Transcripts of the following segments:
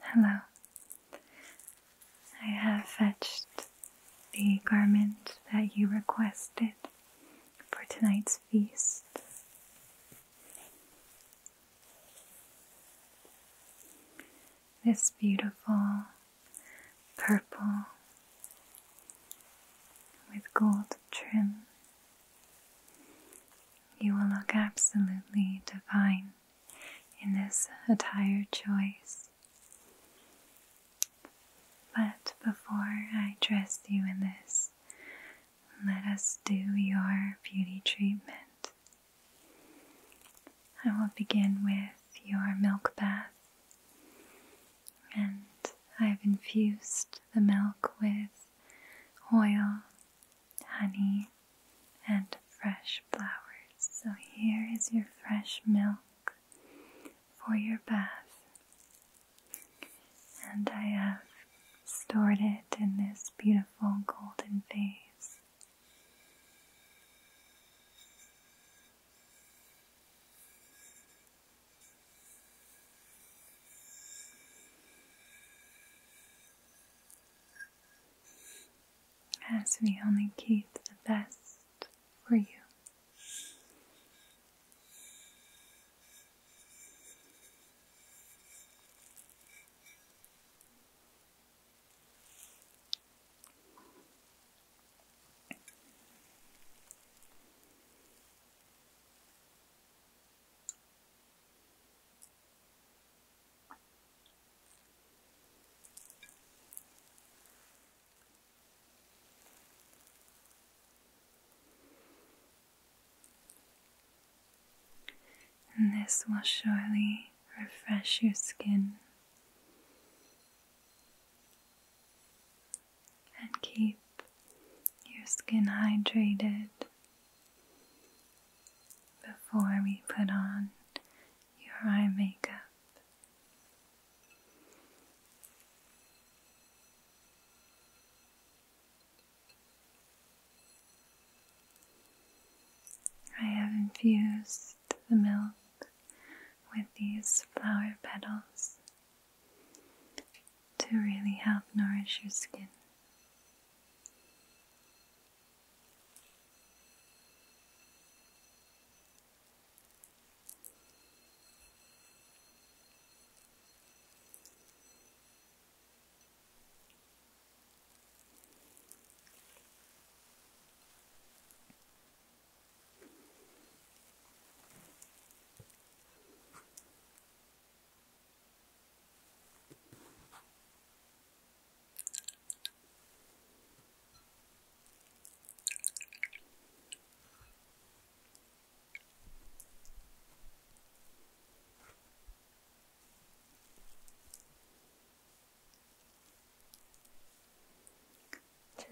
Hello. I have fetched the garment that you requested for tonight's feast. This beautiful purple with gold trim. You will look absolutely divine in this attire choice. But before I dress you in this, let us do your beauty treatment. I will begin with your milk bath and I've infused the milk with oil, honey, and fresh flowers. So here is your fresh milk for your bath. And I have stored it in this beautiful golden vase. As we only keep the best for you. And this will surely refresh your skin and keep your skin hydrated before we put on your eye makeup. I have infused the milk with these flower petals to really help nourish your skin.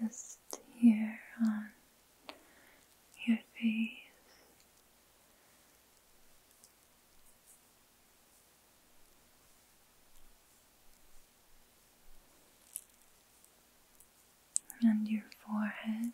Just here on your face. And your forehead,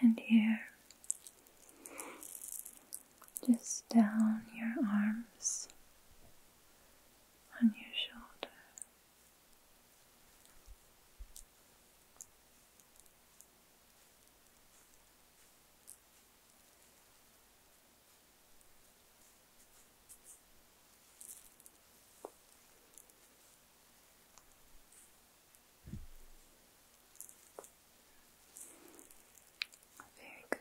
and here, just down your arms, on your shoulder. Very good.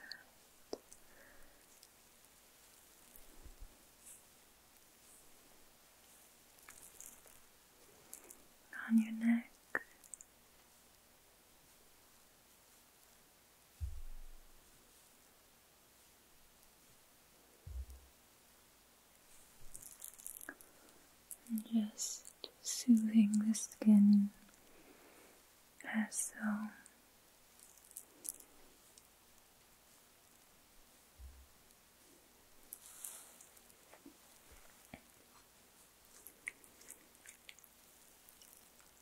On your neck, just soothing the skin as so.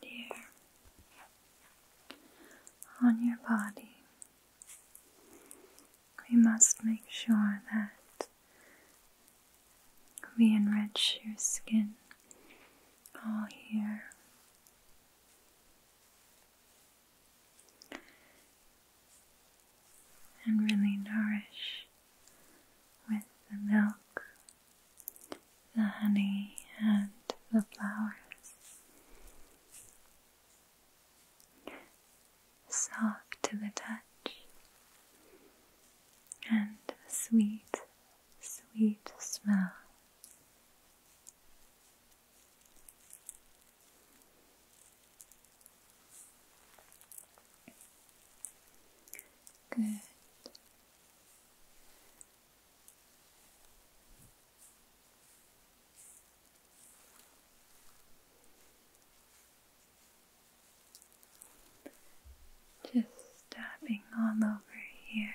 here on your body. We must make sure that we enrich your skin all here and really nourish with the milk, the honey, and the flowers. Soft to the touch and sweet, sweet smell. Good. Just tapping all over here.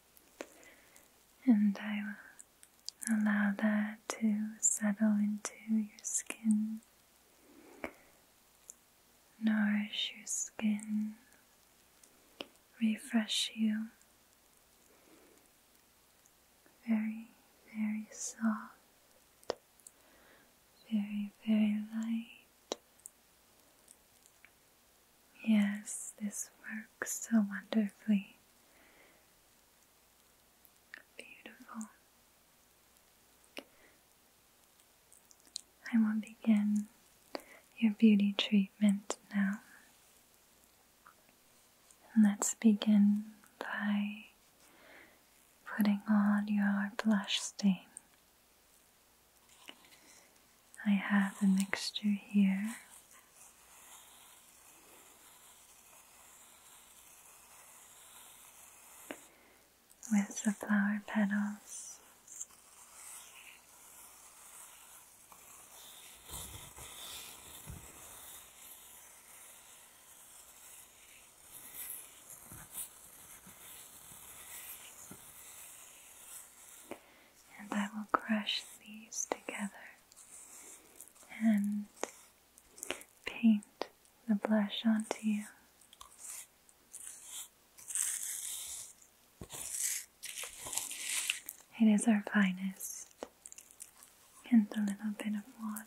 and I will allow that to settle into your skin, nourish your skin, refresh you. Very, very soft, very, very light, Yes, this works so wonderfully. Beautiful. I will begin your beauty treatment now. let's begin by putting on your blush stain. I have a mixture here. With the flower petals, and I will crush these together and paint the blush onto you. It is our finest, and a little bit of water.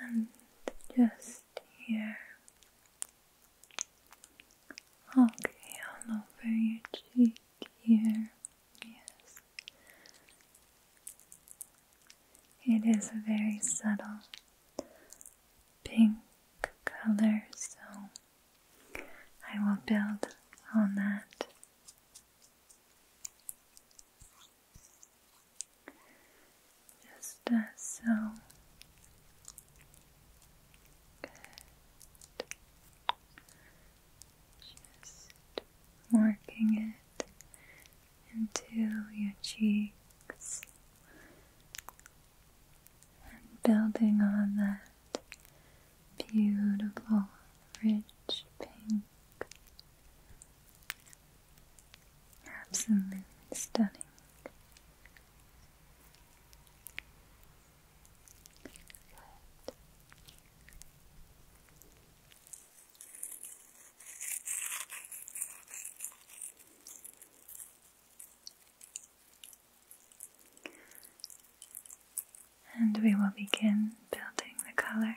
and just here, okay, all over your cheek here, yes, it is a very subtle pink color, so I will build on that just uh, so. Good. Just working it into your cheeks and building on that beautiful, rich pink Absolutely stunning. And we will begin building the color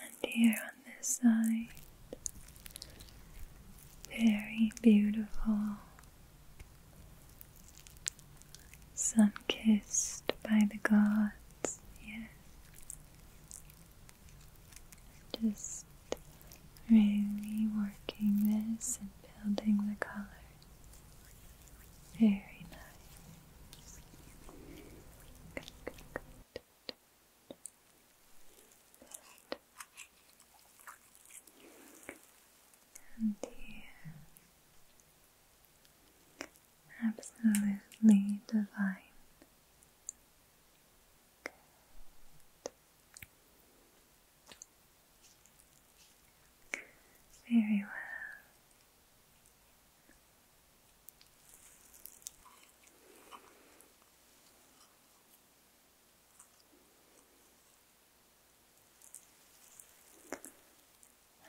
And here on this side, very beautiful, sun kissed by the gods, yes. Just really working this and building the color. Very nice. Good, good, And here, absolutely divine. Very well.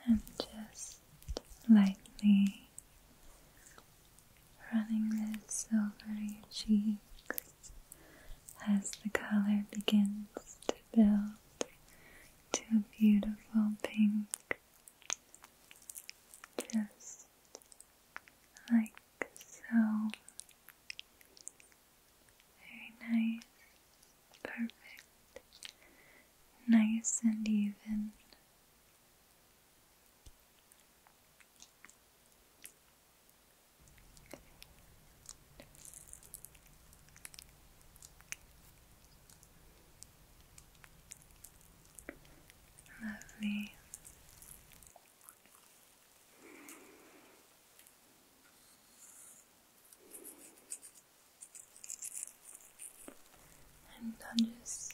And just lightly running this over your cheeks as the color begins to build to a beautiful pink just like so. Very nice. Perfect. Nice and even. Lovely. And I'll just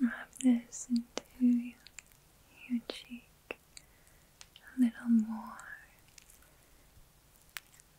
wrap this into your cheek a little more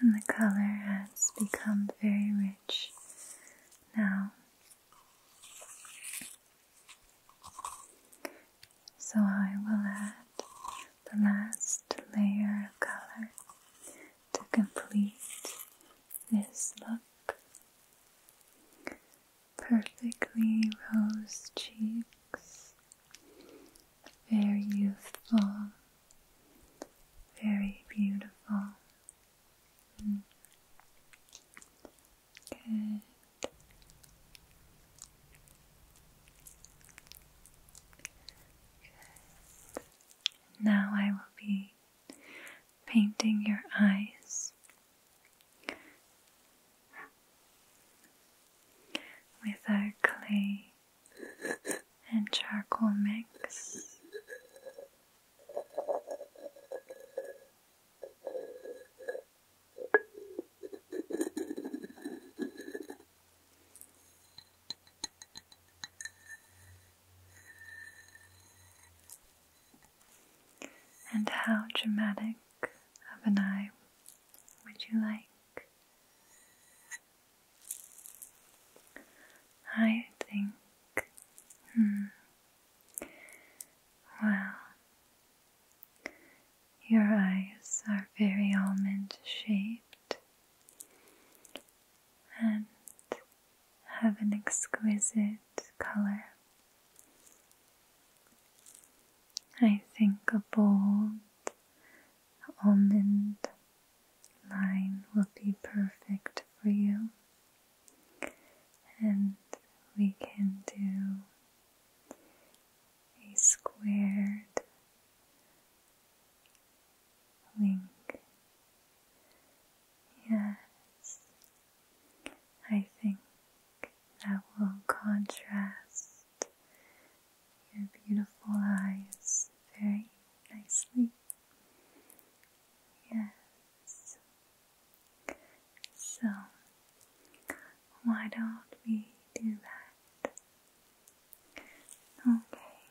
And the color has become very rich now. So I will add the last layer of color to complete this look. Perfectly rose cheeks, very youthful, very beautiful. Mm. Good. Good. Now I will be painting your eyes with our clay and charcoal mix. And how dramatic of an eye would you like? I think, hmm, well, your eyes are very almond shaped, and have an exquisite color. I think a bold almond line will be perfect for you, and we can do a squared link. Yes, I think that will contrast your beautiful eyes very nicely. Yes. So, why don't we do that? Okay.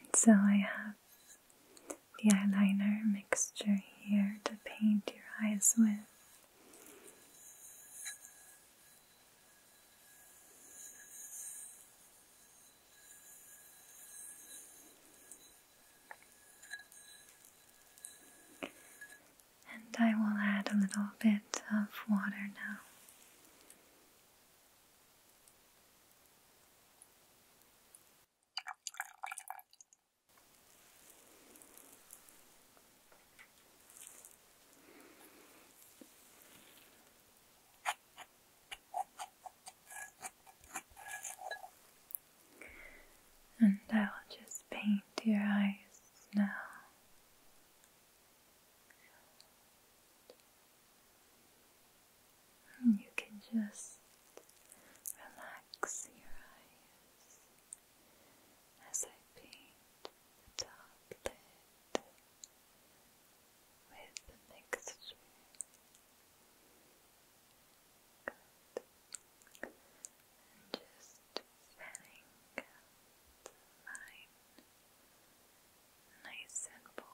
And so I have the eyeliner mixture here to paint your eyes with. And I will add a little bit of water now. And I'll just paint your eyes now you can just relax your eyes as I paint the top lid with the mixture. Good. And just fanning out nice and bold.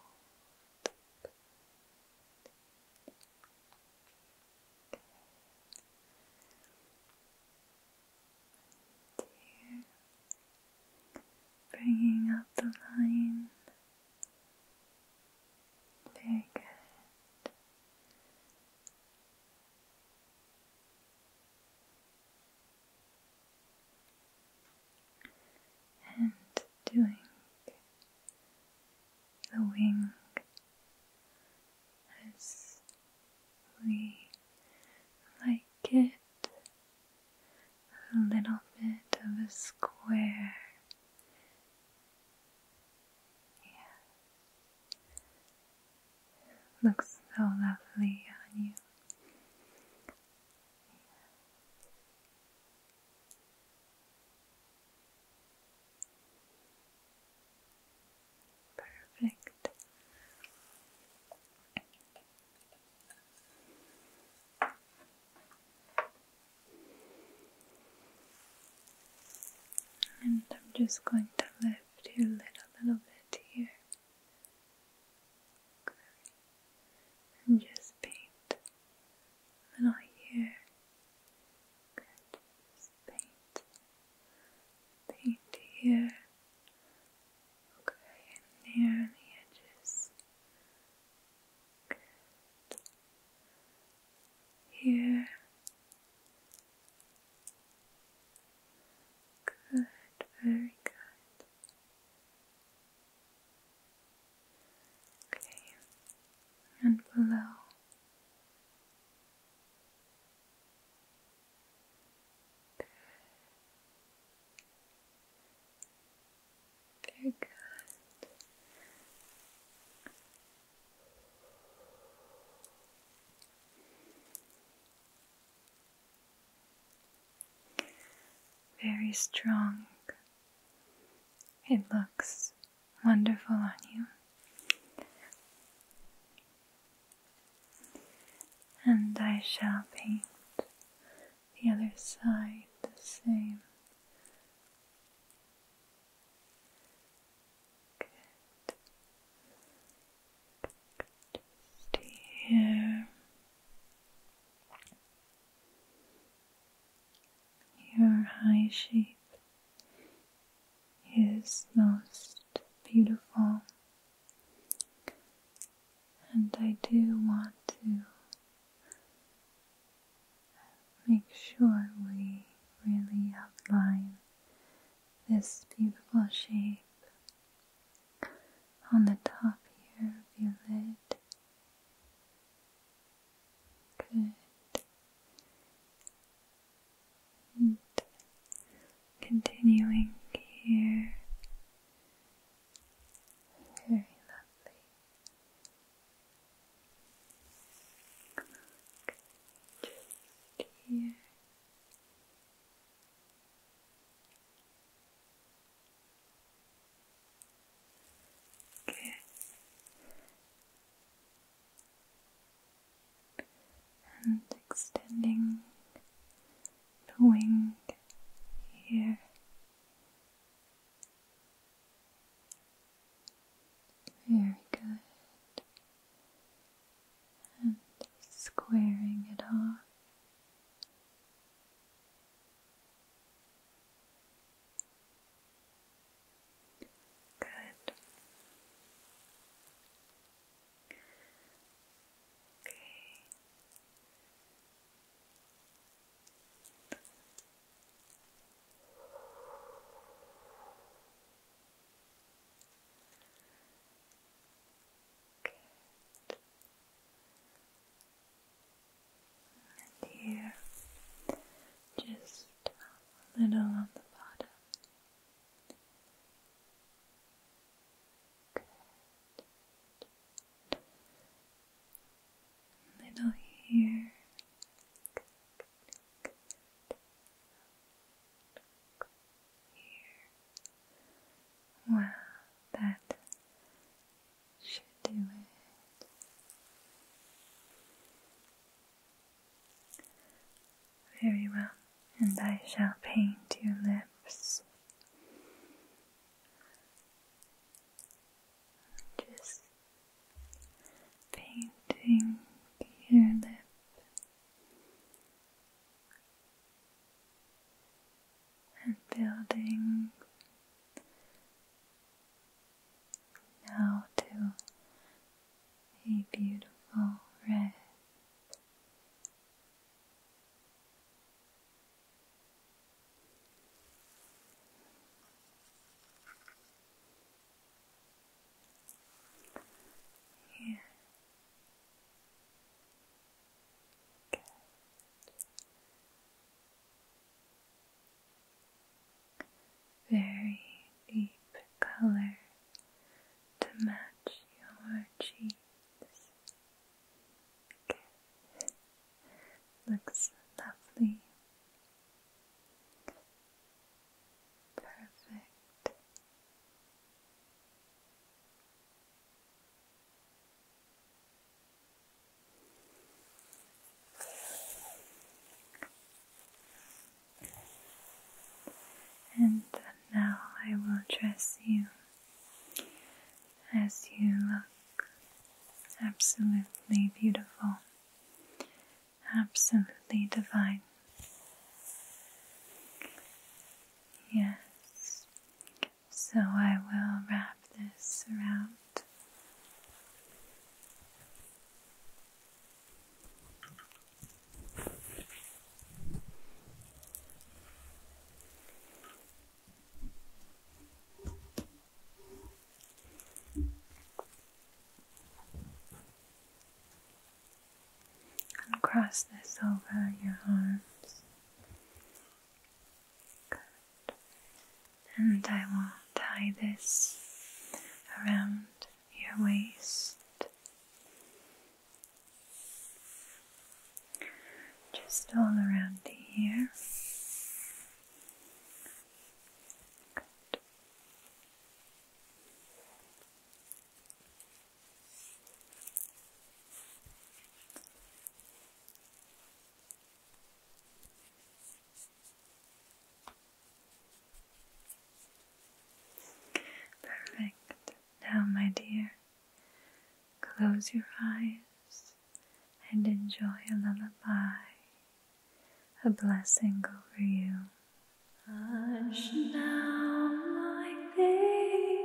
Okay. bringing up the line. Very good and doing the wing as we like it a little bit of a square. Yes. Looks so lovely on you. Yes. Perfect. And I'm just going to lift you a little, bit here and just paint a little here. Good, paint, paint here. Okay, and there on the edges. Good. Here. Good, very good. Okay, and below. Good. Very good very strong. It looks wonderful on you. And I shall paint the other side the same. Good. Just here. Your high shape is most beautiful, and I do want to make sure we really outline this beautiful shape on the top here of your lid. Good. continuing here. Very lovely. just here. And extending the wing here. Very good. And squaring it off. Good. Okay. Good and here just a little on the bottom. Good. Little here. Here. Wow, that should do it. Very well, and I shall paint your lips. Just painting your lips and building Now to a beautiful red. Here very deep color to match your cheeks. Looks lovely. Perfect. And now I will dress you as you look absolutely beautiful, absolutely divine. Yes, so I will wrap this around. And cross this over your arms and I will tie this around your waist. Just all around here. Perfect. Now, my dear, close your eyes and enjoy a lullaby, a blessing over you. Hush now, my baby.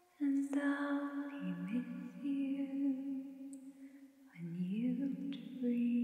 and I'll be with you when you dream.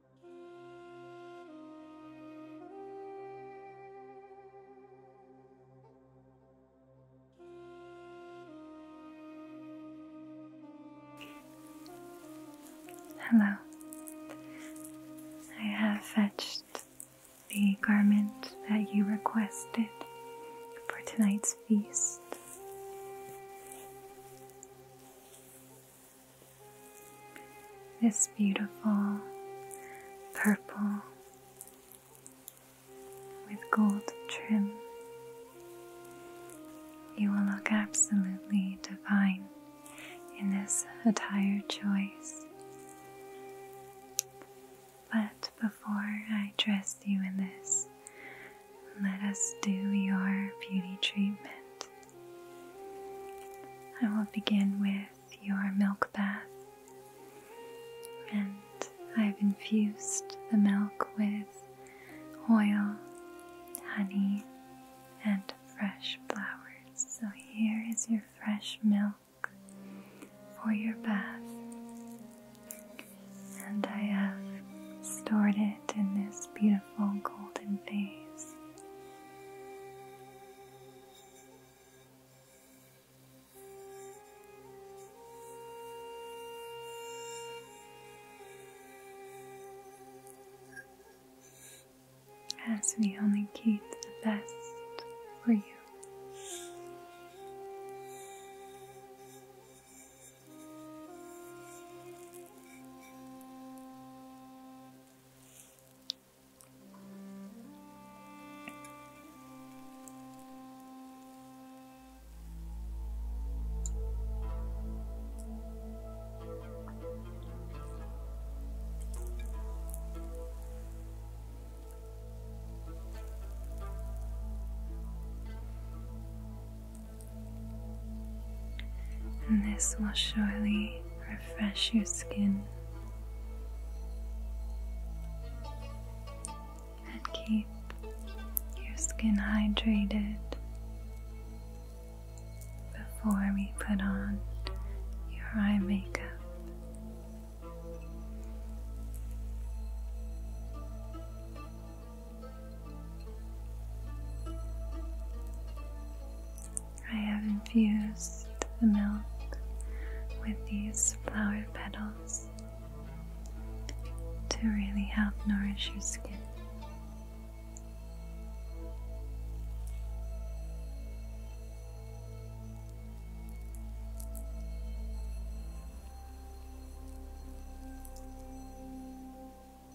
Hello. I have fetched the garment that you requested for tonight's feast this beautiful purple with gold trim. You will look absolutely divine in this attire choice. But before I dress you in this, let us do your beauty treatment. I will begin with your milk bath, and I've infused the milk with oil, honey, and fresh flowers. So here is your fresh milk for your bath, and I have stored it in this beautiful golden vase. As we only keep the best for you this will surely refresh your skin and keep your skin hydrated before we put on your eye makeup. I have infused the milk with these flower petals to really help nourish your skin.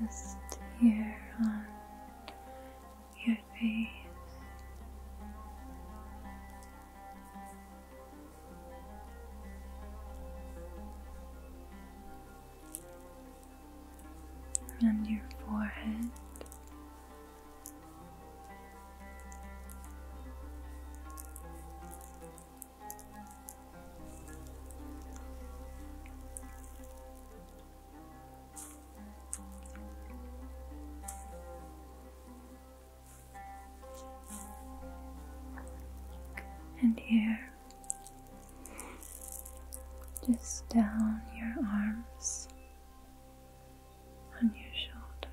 just here on your face. And your forehead, and here, just down your arms, on your shoulder,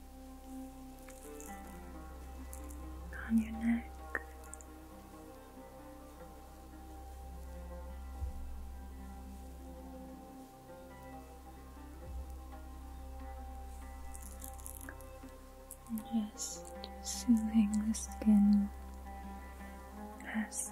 on your neck. just soothing the skin as so.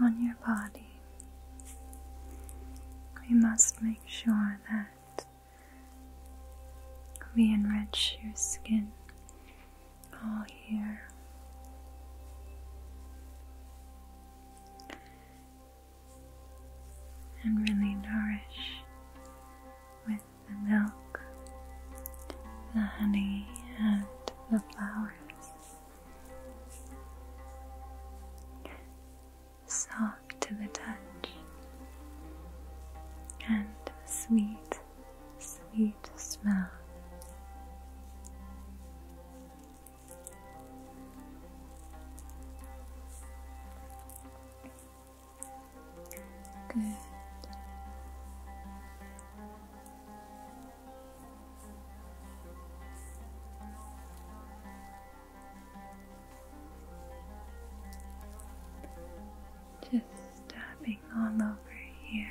on your body, we must make sure that we enrich your skin all here. And really nourish with the milk, the honey, and the flowers. Soft to the touch and sweet sweet smell. Good. Just tapping going all over here.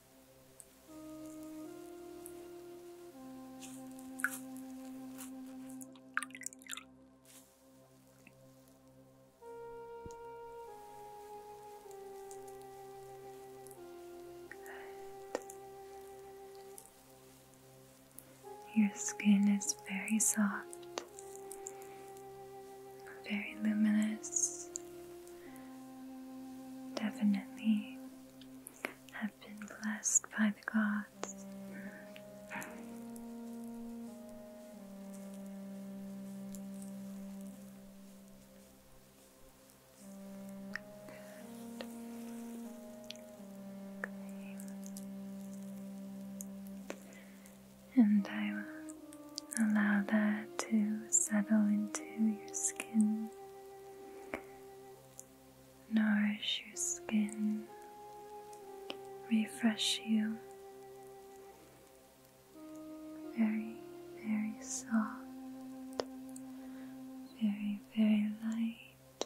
Your skin is very soft, very luminous, definitely have been blessed by the gods. And I Allow that to settle into your skin. Nourish your skin, refresh you. Very, very soft, very, very light.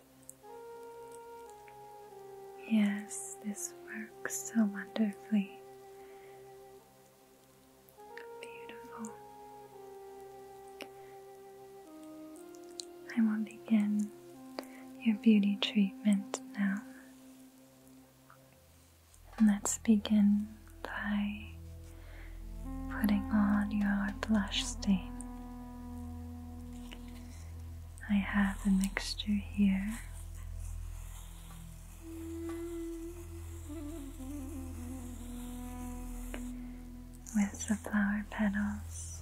Yes, this works so wonderfully Beautiful. I will begin your beauty treatment now. let's begin by putting on your blush stain. I have the mixture here with the flower petals.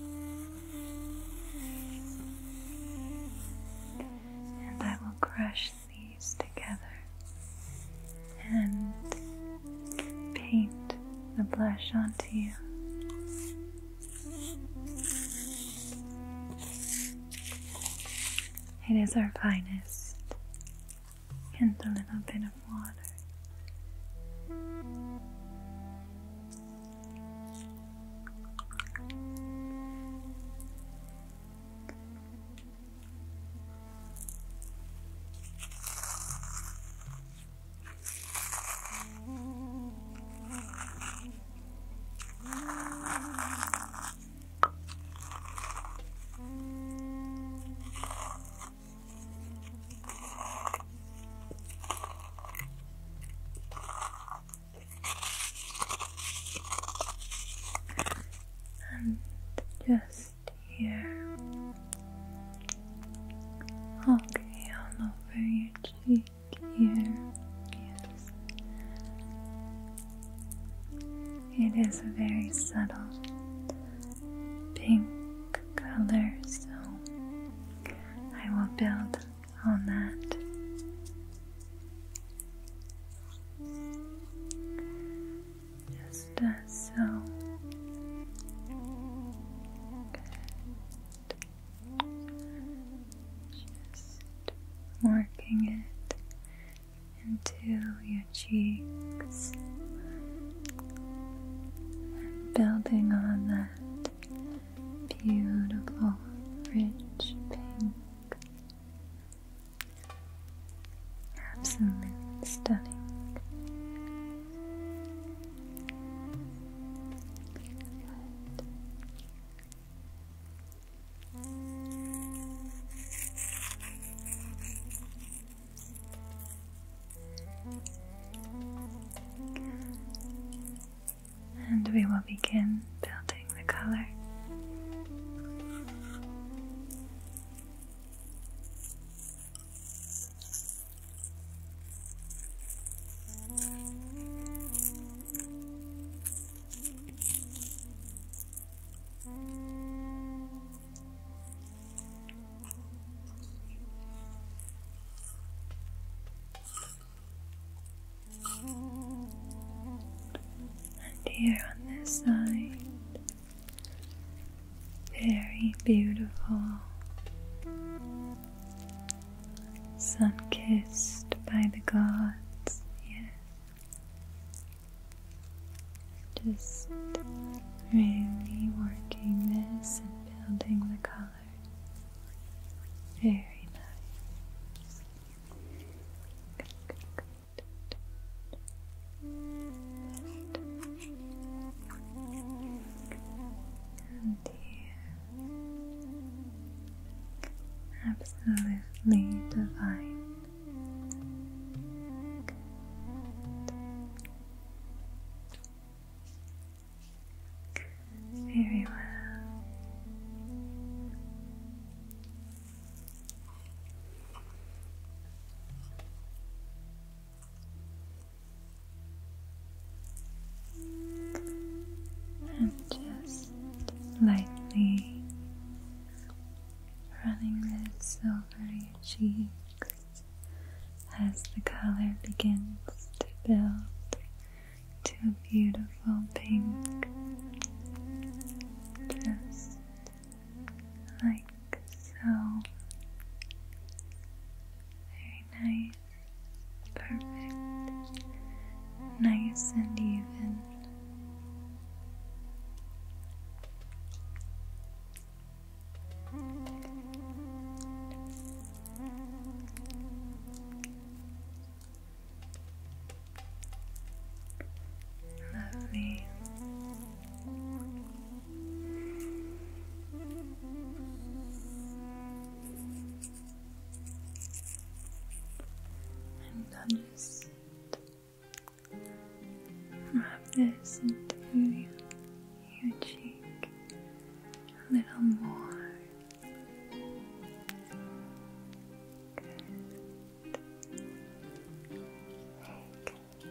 And I will crush these together and paint the blush onto you. It is our finest, and a little bit of water. And just here. Okay, all over your cheek here. Yes. It is a very subtle pink color, so I will build on that. Just uh, so. Just working it into your cheeks building on that beautiful, rich pink. Absolutely stunning. And we will begin building the color. And here on this side, very beautiful. Sun kissed by the gods, yes. Just really working this and building the colors. Very nice. Good, absolutely divine. Very well and just lightly running this over your cheeks as the color begins to build to a beautiful pink. Just like so. Very nice. Perfect. Nice and even. Lovely. I'm just wrap this into your cheek a little more. Good. Good.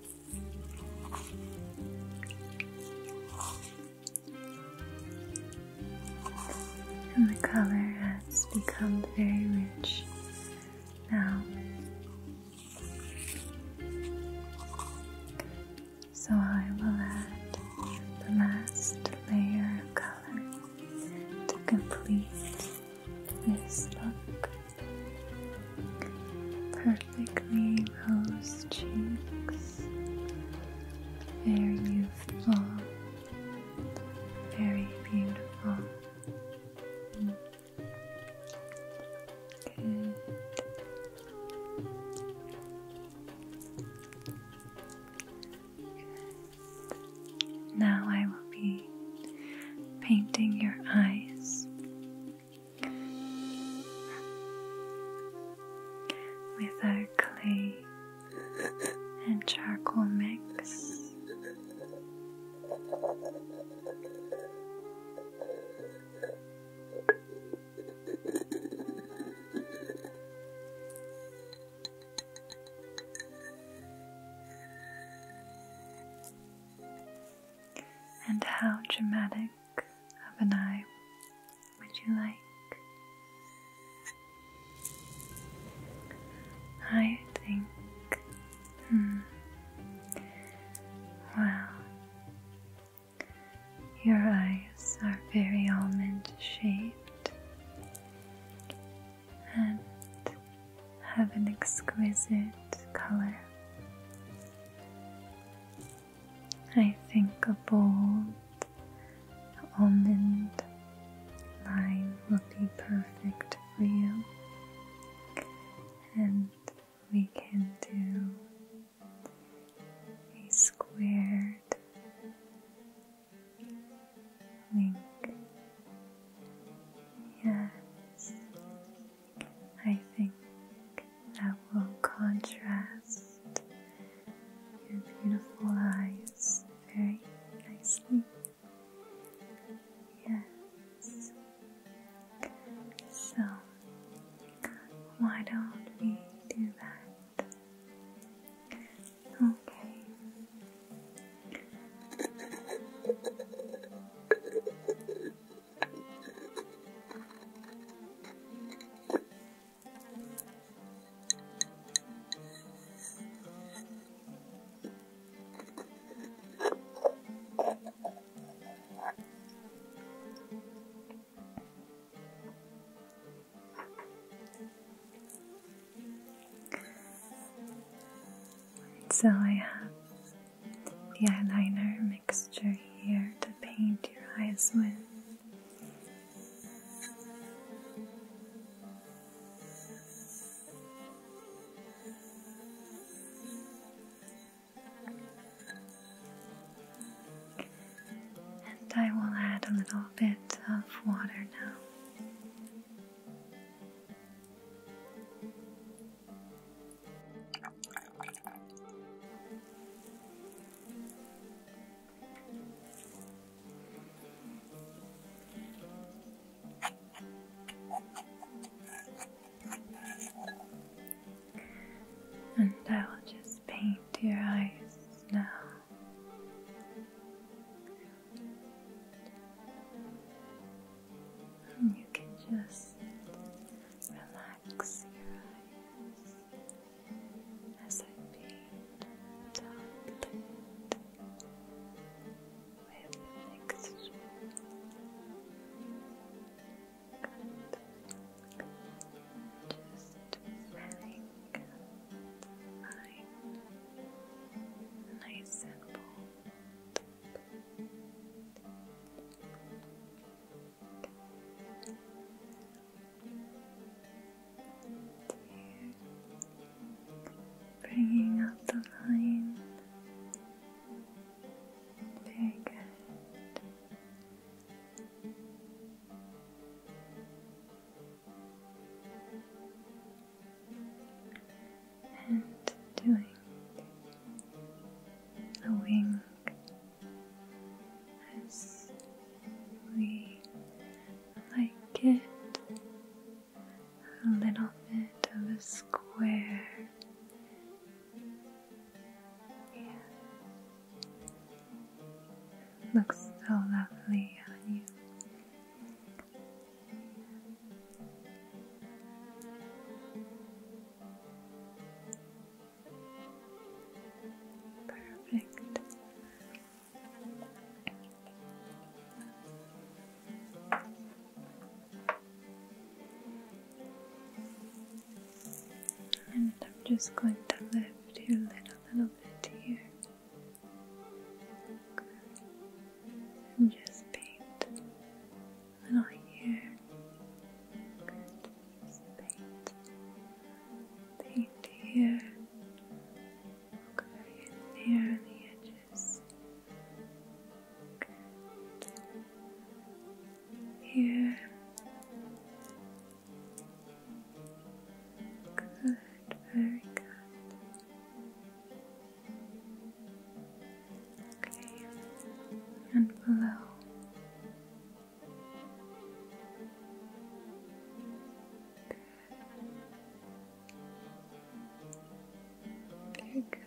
And the color has become very rich now. So I will add the last layer of color to complete this look. Perfect perfectly rose cheeks. Very youthful, very beautiful. Mm. Now I will be painting your eyes with our clay and charcoal mix. And how dramatic back of an eye would you like? I think. Hmm. Well, your eyes are very almond shaped and have an exquisite color. I think a bold almond line will be perfect for you, and we can do a squared link. Yes, I think that will contrast your beautiful eyes very nicely. Yes. So, why don't we do that? Okay. So I the eyeliner mixture here to paint your eyes with. And I will add a little bit of water now. And I will just paint your eyes now. And you can just relax relax your with mixture. Good. Just very good. Nice and bold. Bringing up the line. Very good. And doing the wings as we like it a little bit of a square. Looks so lovely on you. Perfect. And I'm just going to lift you a little bit here. And just paint and here. Good. paint. Paint here. Look right the edges. Good. Here. Good. Very good. Okay, and below. Very good.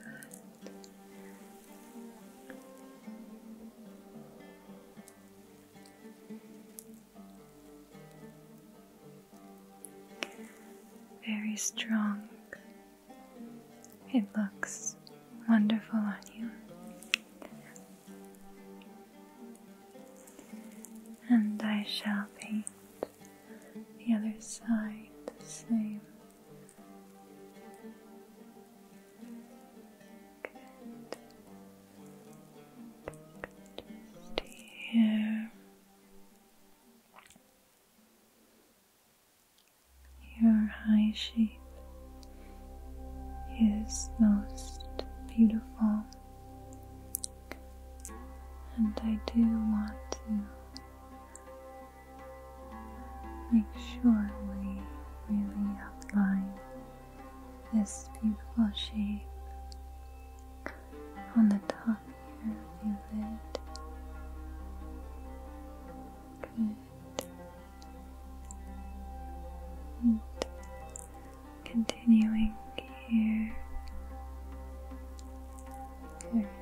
Very strong. It looks wonderful on you. And I shall be the other side the same. here. Your high shape is most beautiful, and I do want to make sure we really outline this beautiful shape on the top here of your and continuing here very lightly. here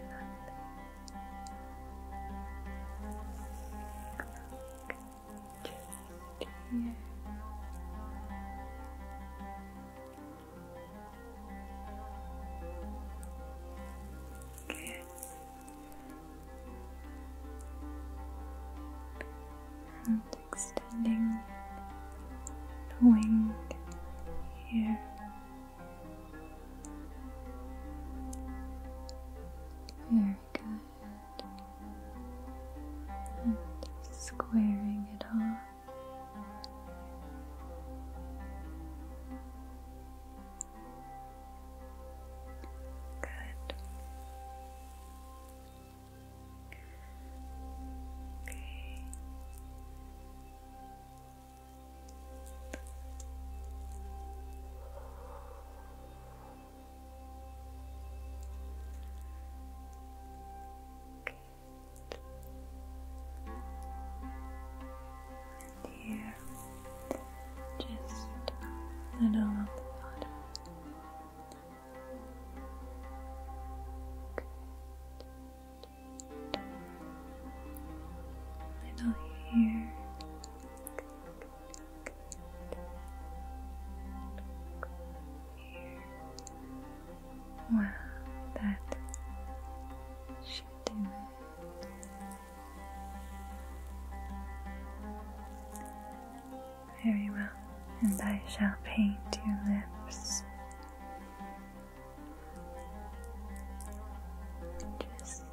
and extending the wing here. Very good. And squaring it off. Good. Okay. Good. And here just little on the bottom. Little here. Here. Wow, that should do very well, and I shall paint your lips. Just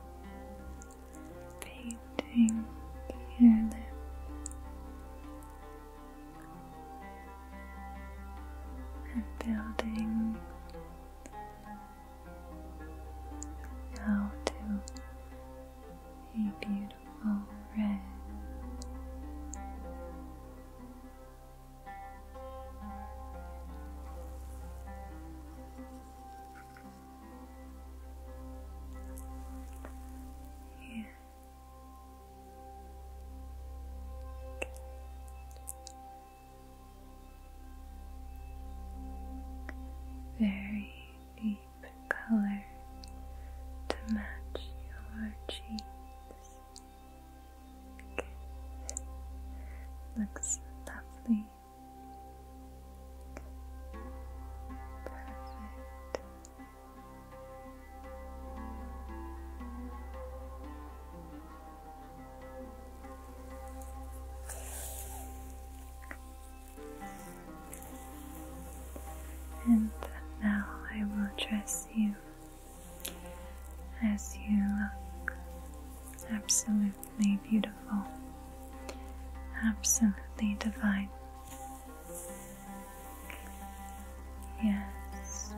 painting your lips. And building how to a beautiful red. Yeah. Very deep color to match your cheeks. Looks lovely. Perfect. And now I will dress you as you look absolutely beautiful, absolutely divine. Yes,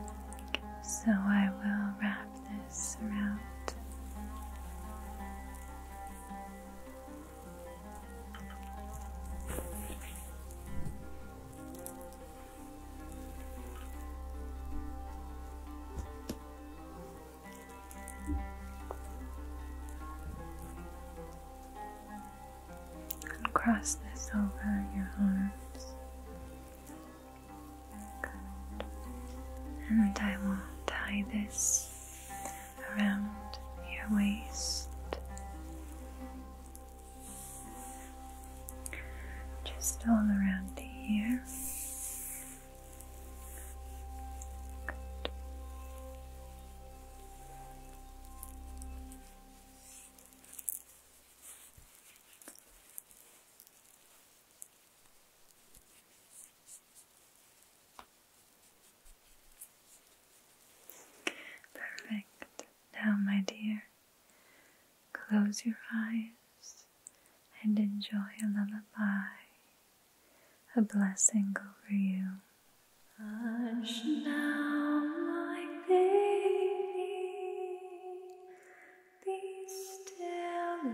so I will wrap this around and cross this over your arms. And I will tie this around your waist. Just all around here. Perfect. Now, my dear, close your eyes and enjoy a lullaby, a blessing over you. Hush now, my baby, be still,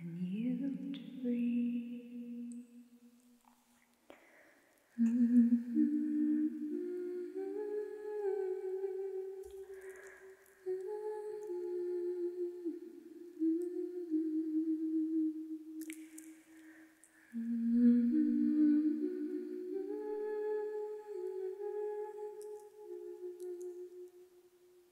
a new dream. Mm -hmm.